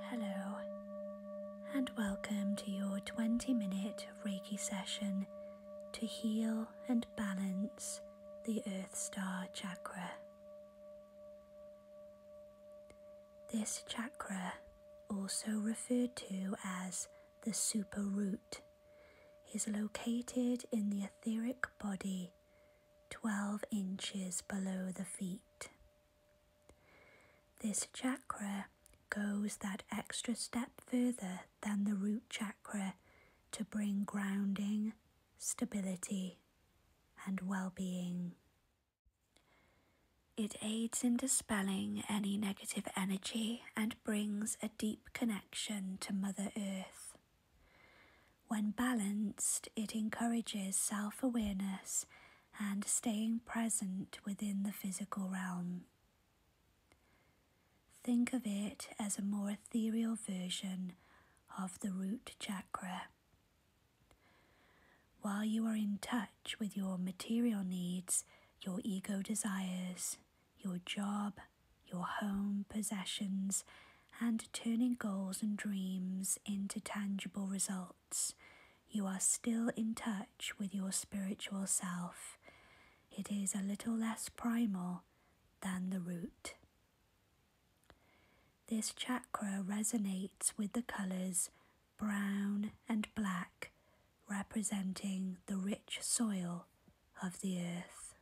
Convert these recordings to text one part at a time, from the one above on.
Hello, and welcome to your 20 minute Reiki session to heal and balance the Earth Star Chakra. This chakra, also referred to as the super root is located in the etheric body 12 inches below the feet. This chakra goes that extra step further than the root chakra to bring grounding, stability, and well being. It aids in dispelling any negative energy and brings a deep connection to Mother Earth. When balanced, it encourages self awareness and staying present within the physical realm. Think of it as a more ethereal version of the root chakra. While you are in touch with your material needs, your ego desires, your job, your home, possessions, and turning goals and dreams into tangible results, you are still in touch with your spiritual self. It is a little less primal than the root. This chakra resonates with the colours brown and black representing the rich soil of the earth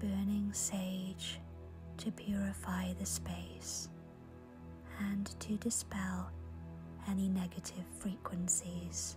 burning sage to purify the space and to dispel any negative frequencies.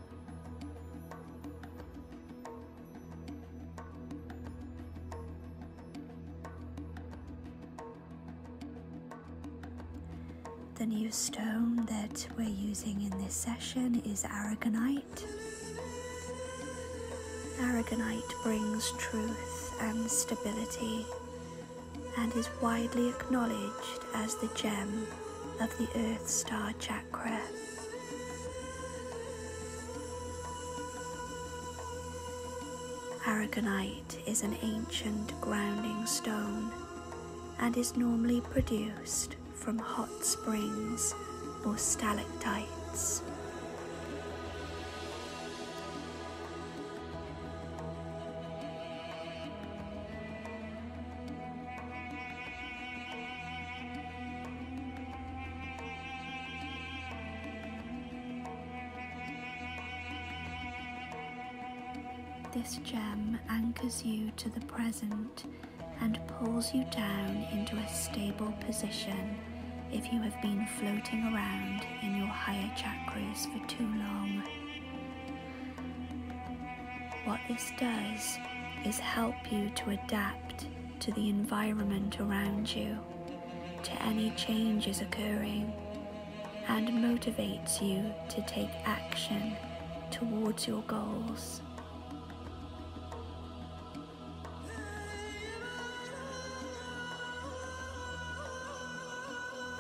The new stone that we're using in this session is aragonite. Aragonite brings truth and stability and is widely acknowledged as the gem of the Earth Star Chakra. Aragonite is an ancient grounding stone and is normally produced from hot springs or stalactites. This gem anchors you to the present and pulls you down into a stable position if you have been floating around in your higher chakras for too long. What this does is help you to adapt to the environment around you, to any changes occurring, and motivates you to take action towards your goals.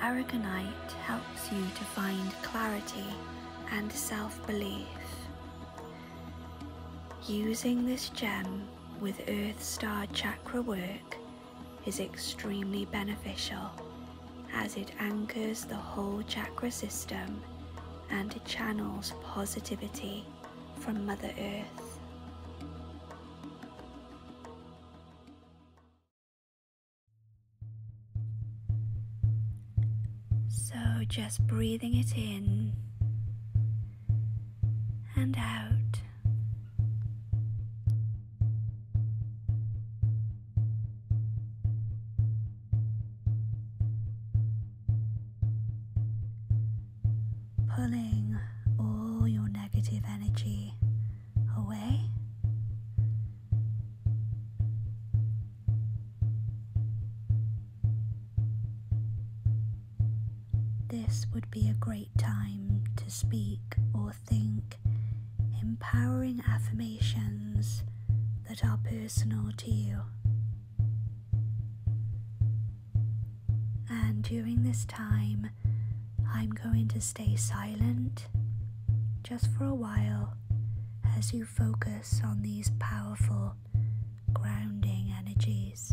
Aragonite helps you to find clarity and self belief. Using this gem with Earth Star Chakra work is extremely beneficial as it anchors the whole chakra system and channels positivity from Mother Earth. So just breathing it in and out. Pulling all your negative energy away? This would be a great time to speak or think empowering affirmations that are personal to you. And during this time, I'm going to stay silent just for a while as you focus on these powerful grounding energies.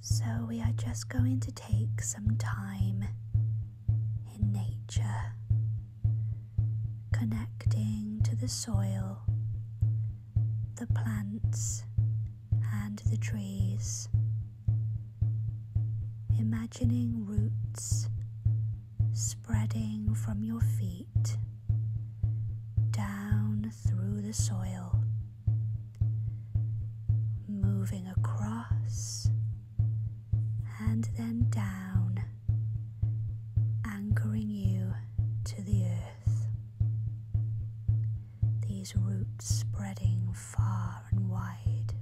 So, we are just going to take some time in nature, connecting to the soil, the plants, and the trees imagining roots spreading from your feet down through the soil, moving across and then down, anchoring you to the earth. These roots spreading far and wide.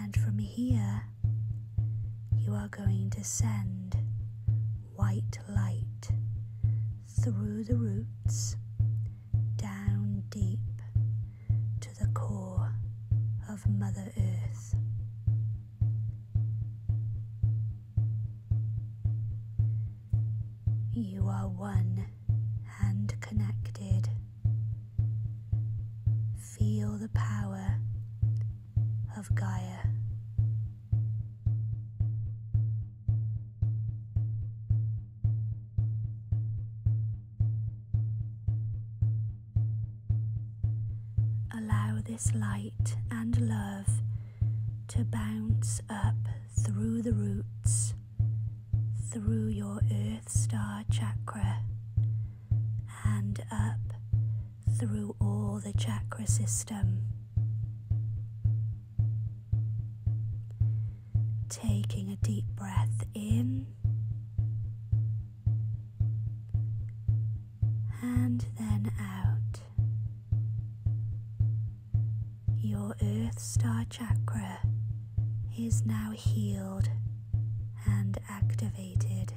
And from here, you are going to send white light through the roots down deep to the core of Mother Earth. You are one and connected. Feel the power of Gaia. Allow this light and love to bounce up through the roots through your earth star chakra and up through all the chakra system. Taking a deep breath in and then out. Your Earth Star Chakra is now healed and activated.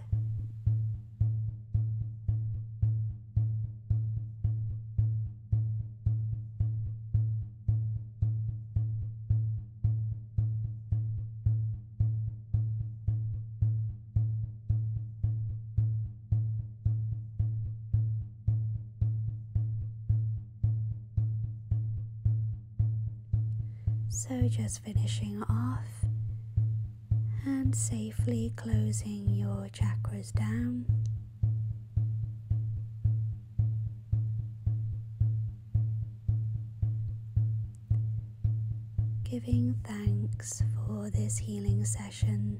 So, just finishing off and safely closing your chakras down. Giving thanks for this healing session.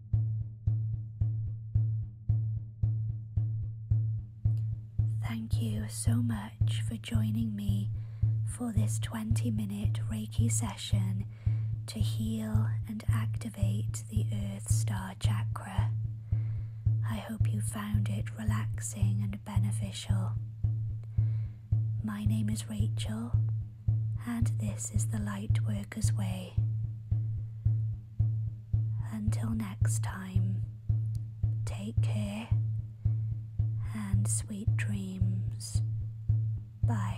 Thank you so much for joining me for this 20 minute Reiki session to heal and activate the Earth Star Chakra. I hope you found it relaxing and beneficial. My name is Rachel, and this is the Lightworker's Way. Until next time, take care and sweet dreams. Bye.